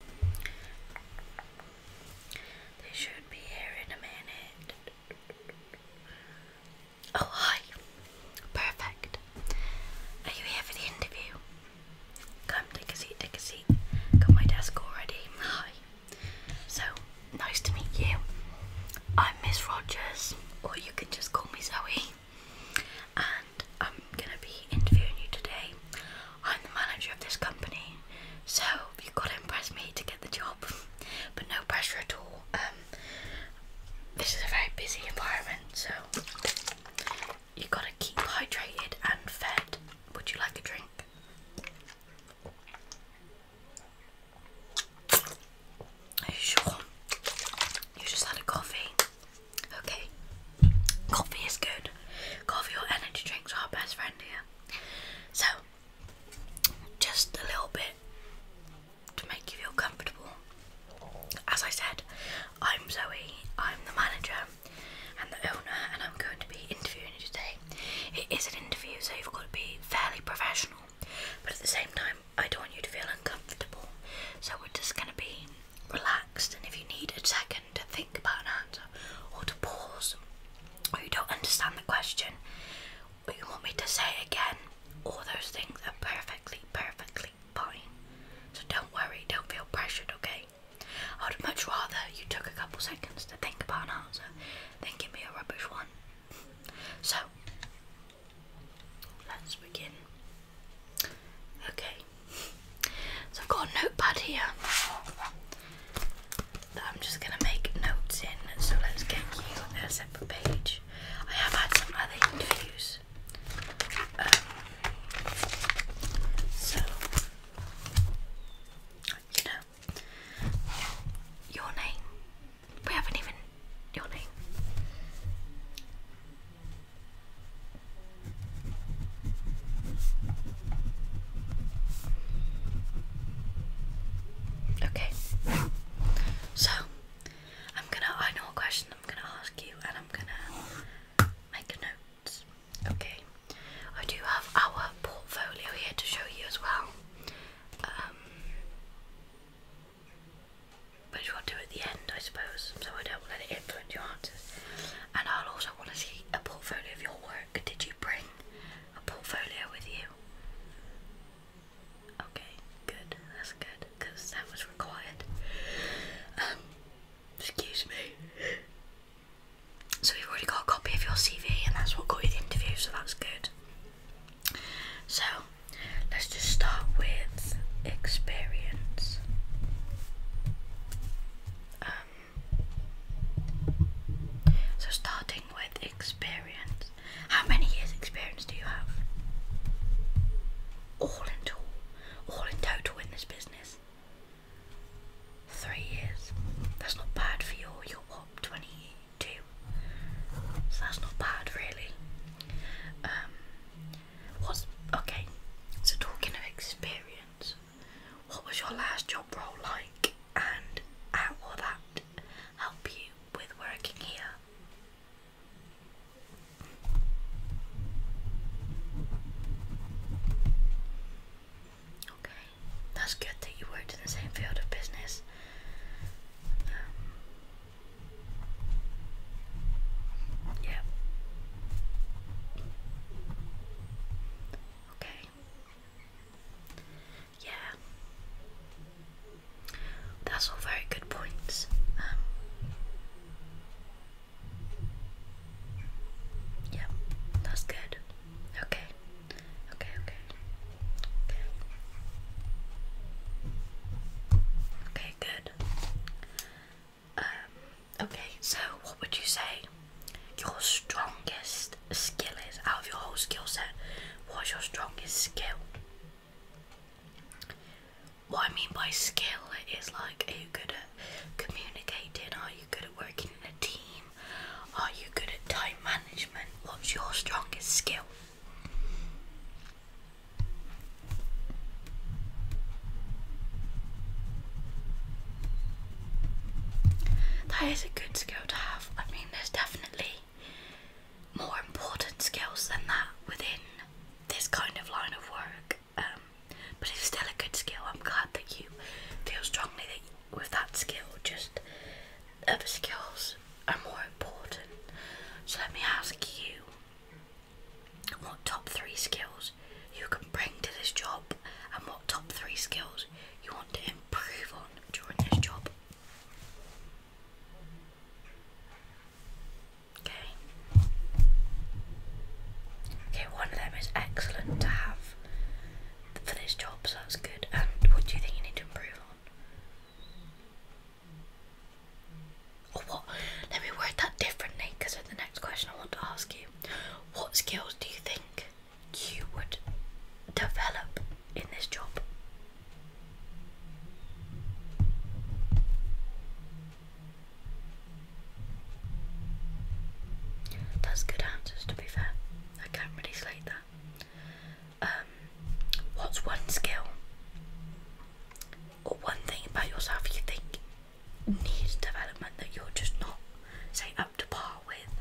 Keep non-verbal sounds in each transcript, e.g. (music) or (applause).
They should be here in a minute. Oh, hi. Perfect. Are you here for the interview? Come, take a seat, take a seat. Got my desk already. Hi. So, nice to meet you. I'm Miss Rogers, or you can just call me Zoe. And I'm gonna be interviewing you today. I'm the manager of this company, so you've got to impress me to get the job. (laughs) but no pressure at all. Um, this is a very busy environment, so you've got to keep hydrated and fed. Would you like a drink? Are you sure? You just had a coffee. Okay. Coffee is good. Coffee or energy drinks are our best friend here. So, just a little bit to make you feel comfortable. As I said, I'm Zoe, I'm the manager and the owner, and I'm going to be interviewing you today. It is an interview, so you've got to be fairly professional, but at the same time, I don't want you to feel uncomfortable. So, we're just going to be relaxed, and if you need a second, to think about an answer or to pause, or you don't understand the question, or you want me to say again, all those things are perfectly, perfectly fine. So don't worry, don't feel pressured, okay? I would much rather you took a couple seconds to think about an answer than give me a rubbish one. So, let's begin. Okay, so I've got a notepad here that I'm just going to make notes in. So let's get you a separate page. I have had some other interviews. Um, so, you know, your name. We haven't even. Your name. Okay, so I'm gonna. I know a question I'm gonna ask you, and I'm gonna make notes. Okay, I do have our portfolio here to show you as well. Um, but you will do at the end, I suppose, so I don't let it influence your answers. And I'll also want to see a portfolio of your work. Did you bring a portfolio with you? Okay, good. That's good because that was required. Um, excuse me. So we've already got a copy of your CV, and that's what got you the interview. So that's good. So let's just start with experience. Um, so starting with experience, how many years experience do you have? All in total, all in total in this business. Three years. That's not bad for your your what twenty two. So that's not bad really. Um, okay? So talking of experience, what was your last job role like, and how will that help you with working here? Okay, that's good that you worked in the same field of business. Um, yeah. Okay. Yeah. That's all very good points. Um, yeah, that's good. Okay, okay. Okay. Okay, good. Um, okay, so what would you say your strongest skill is out of your whole skill set? What's your strongest skill? What I mean by skill is like, are you good at communicating? Are you good at working in a team? Are you good at time management? What's your strongest skill? That is a good skill to have. I mean, there's definitely more important skills than that within this kind of line of work, um, but it's still a good skill. I'm glad that you feel strongly that you, with that skill, just other skills are more important. So let me ask you what top three skills you can bring to this job, and what top three skills you want to improve on during this job. Okay. Okay, one of them is excellent to have for this job, so that's good. And what do you think you need to improve on? Or what? Let me word that differently because of the next question I want to ask you. What skills do you think you would develop in this job? That's good answers to be fair. I can't really slate that. Um, what's one skill or one thing about yourself you think needs development that you're just not, say, up to par with.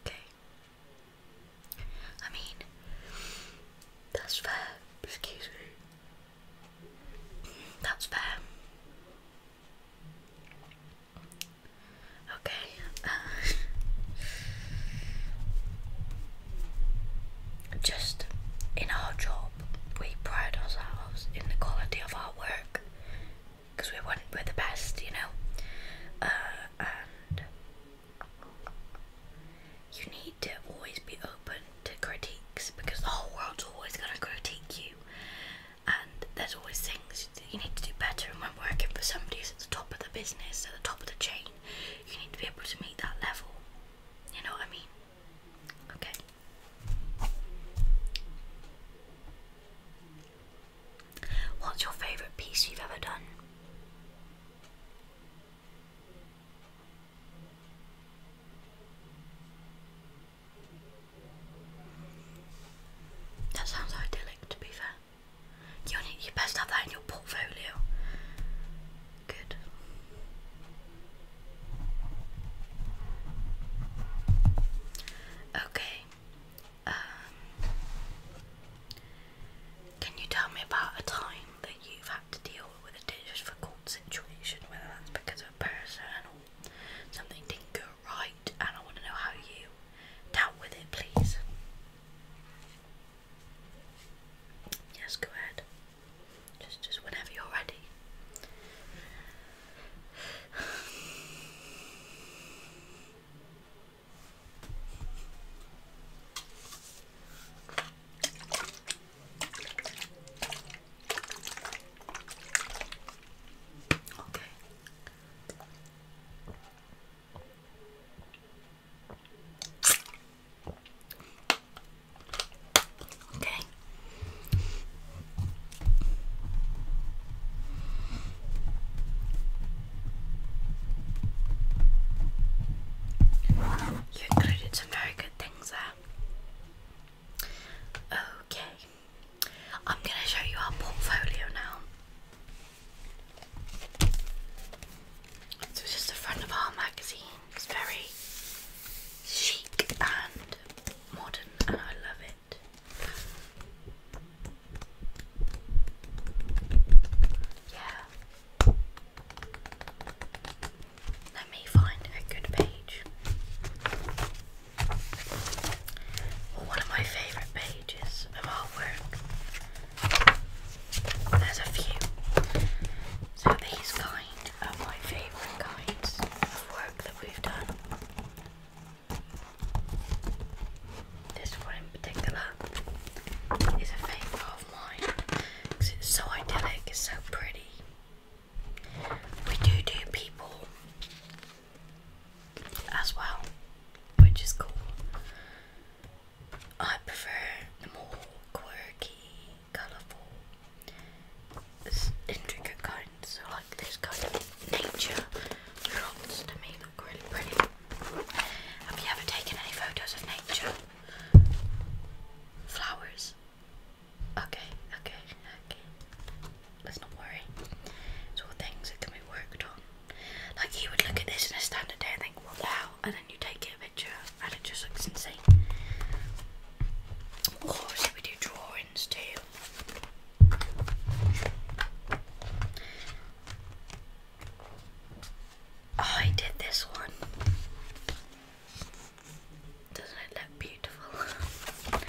Okay. I mean, that's Excuse me. That's fair. Okay. (laughs) just in our job, we pride ourselves in the quality of our work because we want we're the best, you know. Uh, and you need to always be open to critiques because the whole world's always going to critique you, and there's always things that you need to do better. And when working for somebody who's at the top of the business, at the top of the chain, you need to be able to meet that level. You know what I mean? Okay. What's your favourite piece you've ever done? That sounds idyllic to be fair. You, only, best have that in your portfolio. Good. Okay. Um, can you tell me about a time that you've had to deal with a difficult situation, whether that's because of a person or something didn't go right, and I want to know how you dealt with it, please. Yes, go ahead. Just, just whenever you're ready. Okay. Okay. Your credits are Okay, I'm going to show you our portfolio now. So it's just the front of our magazine. It's very chic and modern, and I love it. Yeah, let me find a good page. one of my favourite pages of artwork. There's a few. So these kind are my favourite kinds of work that we've done. This one in particular is a favourite it's so idyllic, it's so pretty. We do do people as well, which is cool. I prefer the more quirky, colourful, intricate kind, so like this kind of nature lots to me look really pretty. Have you ever taken any photos of nature? Flowers. Okay, okay, okay. Let's not worry. It's all things that can be worked on. Like you would look at this in a standard day and think, what the hell? And then you take it a picture and it just looks insane. Or should we do drawings too? Oh, I did this one. Doesn't it look beautiful?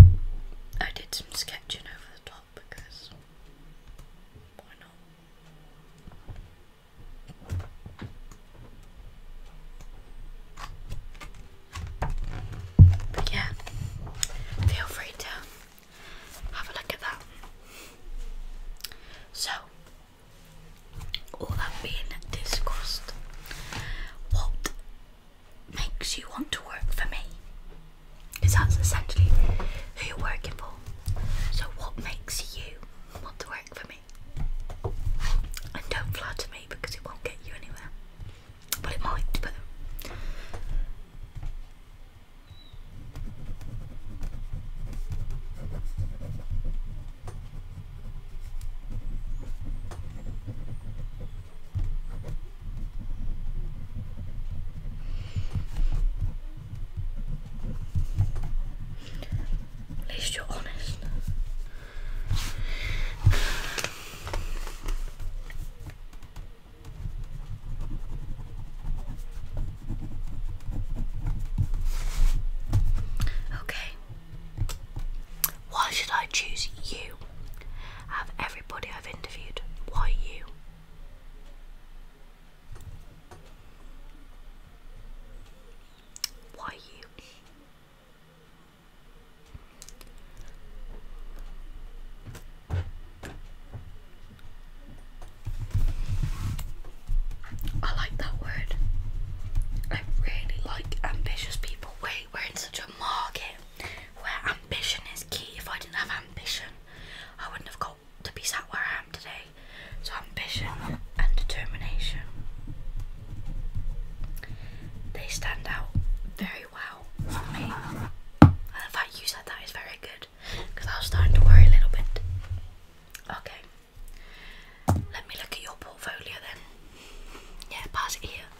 (laughs) I did some sketching over the top because why not? But yeah, feel free to have a look at that. So, all that being discussed, what makes you want to work for me? Because that's essentially who you're working for. So, what makes you want to work for me? And don't flatter me because it won't get you anywhere. But it might, at least you're honest. Okay. Why should I choose you? of everybody I've interviewed, why you? Why you? I like that word. I really like ambitious people. Wait, we're in such a market where ambition is key. If I didn't have ambition, I wouldn't have got to be sat where I am today. So, ambition and determination. They stand out very well for me. And the fact you said that is very good because I was starting to worry a little bit. Okay, let me look at your portfolio then. Yeah, pass it here.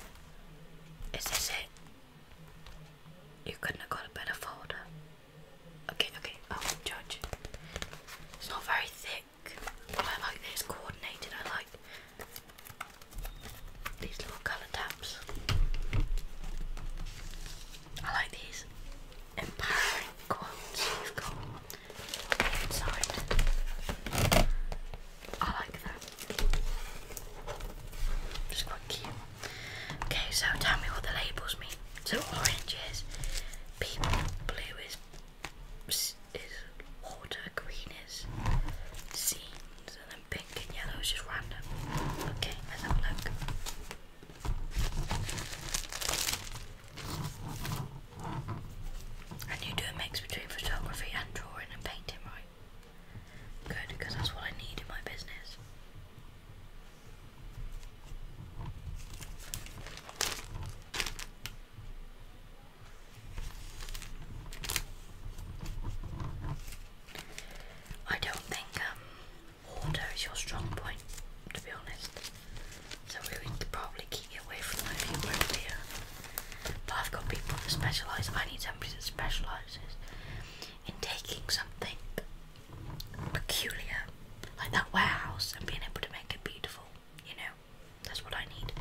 Is this it? You couldn't have got a better folder. Okay, okay, I oh, will It's not very thick, I like that coordinated. I like these little colour tabs. I like these empowering quotes you've got inside. I like that. It's quite cute. Okay, so tell me what the labels mean. So orange is people, blue is is water, green is scenes, and then pink and yellow is just random. Okay, let's look. And you do a mix between photography and drawing and painting, right? Good, because that's what I need in my business. I don't think um Order is your strong point, to be honest. So we would probably keep you away from my people over here. But I've got people that specialise. I need somebody that specialises in taking something peculiar, like that warehouse, and being able to make it beautiful. You know, that's what I need.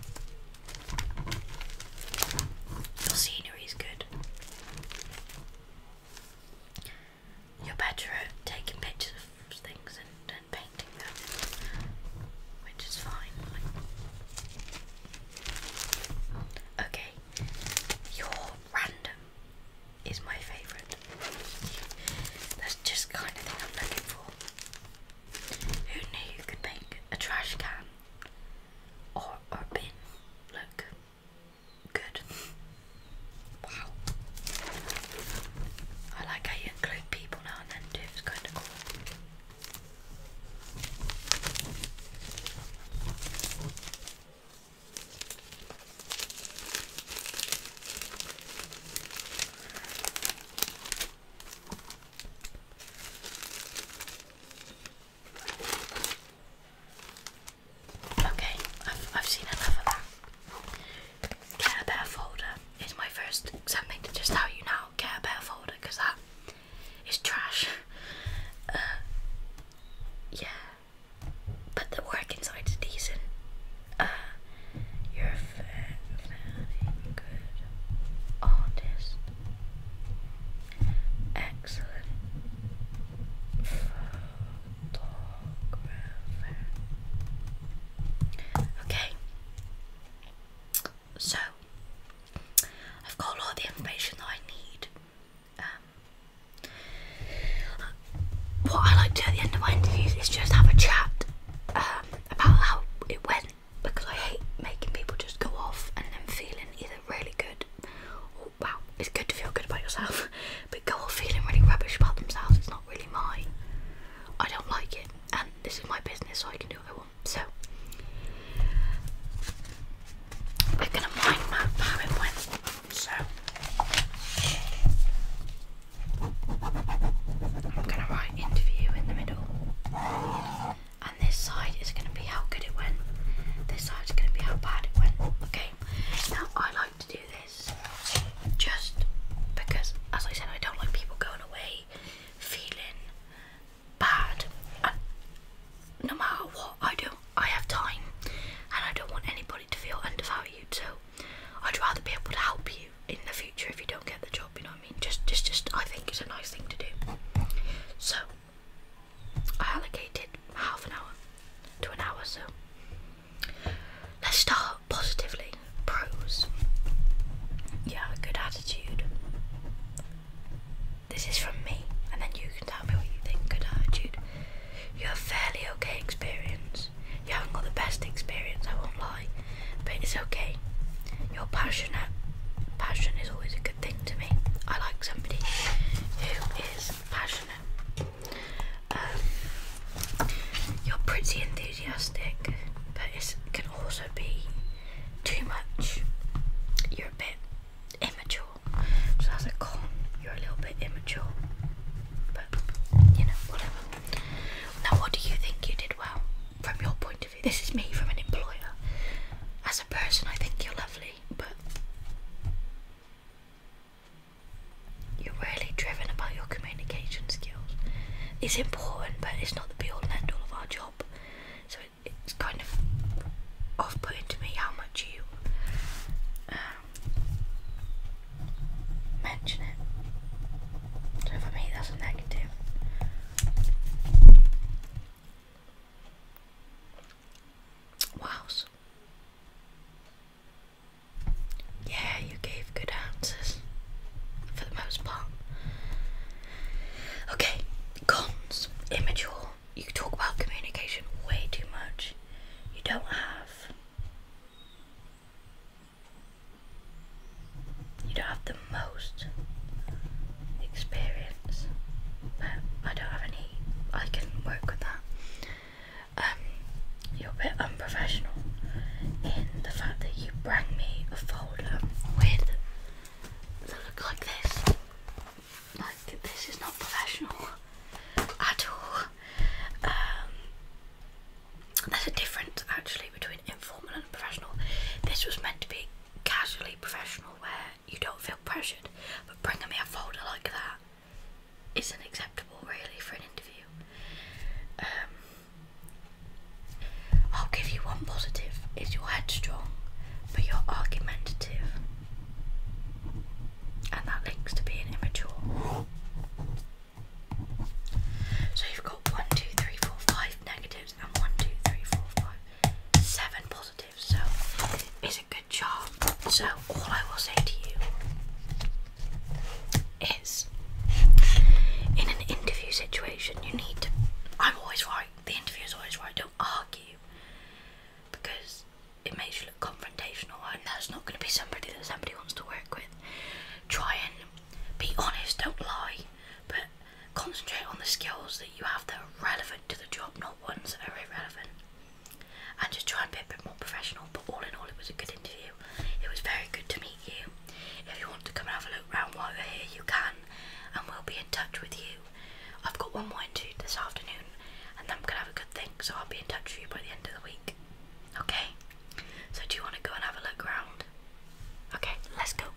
Your scenery is good you're better at taking pictures of things and, painting them, which is fine. okay, you random is my favourite. That's just kind of thing I'm looking for. Who knew you could make a trash can or a bin look? Good. Wow. I like how you include people now and then too, it's kind of cool. Okay, I've, seen enough of that. Get a bear folder is my first something to just tell you now. Get a better folder because that is trash. Uh, yeah, but the work inside is decent. Uh, you're a fair, fairly good artist. Excellent Okay. So I've got all the information that I need. Um, what I like to do at the end of my interviews is just have a chat um, about how it went because I hate making people just go off and then feeling either really good wow, it's good to feel good about yourself, (laughs) but go off feeling really rubbish about themselves. It's not really my. I don't like it, and this is my business, so I can do what I want. So we're gonna mind map how it So I'm gonna write interview in the middle this side is going to be how good it went. This side is going to be how bad it went. Okay. Now I like to do this just because, as I said, I don't like people going away feeling bad. no matter what I do, I have time, and I don't want anybody to feel undervalued. So I'd rather be able to help you in the future if you don't get the job. You know what I mean? Just, just, just. I think it's a nice thing to do. So I allocated half an hour to an hour, so let's start positively. Pros. Yeah, good attitude. This is from me, and then you can tell me what you think. Good attitude. You have fairly okay experience. You haven't got the best experience, I won't lie, but it's okay. You're passionate. Passion is always a good good thing to me. I like somebody who is passionate. Um, you're pretty enthusiastic, but it can also be too much. You're a bit immature, so that's a con. You're a little bit immature, but you know, whatever. Now, what do you think you did well from your point of view? This is me from an employer. As a person, I think you're lovely but you're really driven about your communication skills. It's important, but it's not the be all and end all of our job. So it's kind of off putting to me how much you um, mention it. So for me, that's a negative. Wow. Yeah, you gave good answers for the most part. Okay, cons. Immature. You talk about communication way too much. You don't have. You don't have the most experience but I don't have any. I can work with that. Um, you're a bit unprofessional in the fact that you bring me a folder with that look like this. Like this is not professional at all. Um, there's a difference actually between informal and professional. This was meant to be casually professional, where you don't feel pressured, but bringing me a folder like that isn't acceptable really for an interview. Um, I'll give you one positive: is you're headstrong, but you're argumentative, and that links to being immature. So you've got one, two, three, four, five negatives and one, two, three, four, five, seven positives. So it's a good job. So all I will say to you is in an interview situation you need to I'm always right, the interview is always right, don't argue because it makes you look confrontational and that's not gonna be somebody that somebody wants to work with. Try and be honest, don't lie, but Concentrate on the skills that you have that are relevant to the job, not ones that are irrelevant. And just try and be a bit more professional. But all in all, it was a good interview. It was very good to meet you. If you want to come and have a look round while we are here, you can, and we'll be in touch with you. I've got one more interview this afternoon, and then I'm gonna have a good thing. So I'll be in touch with you by the end of the week. Okay. So do you want to go and have a look around? Okay, let's go.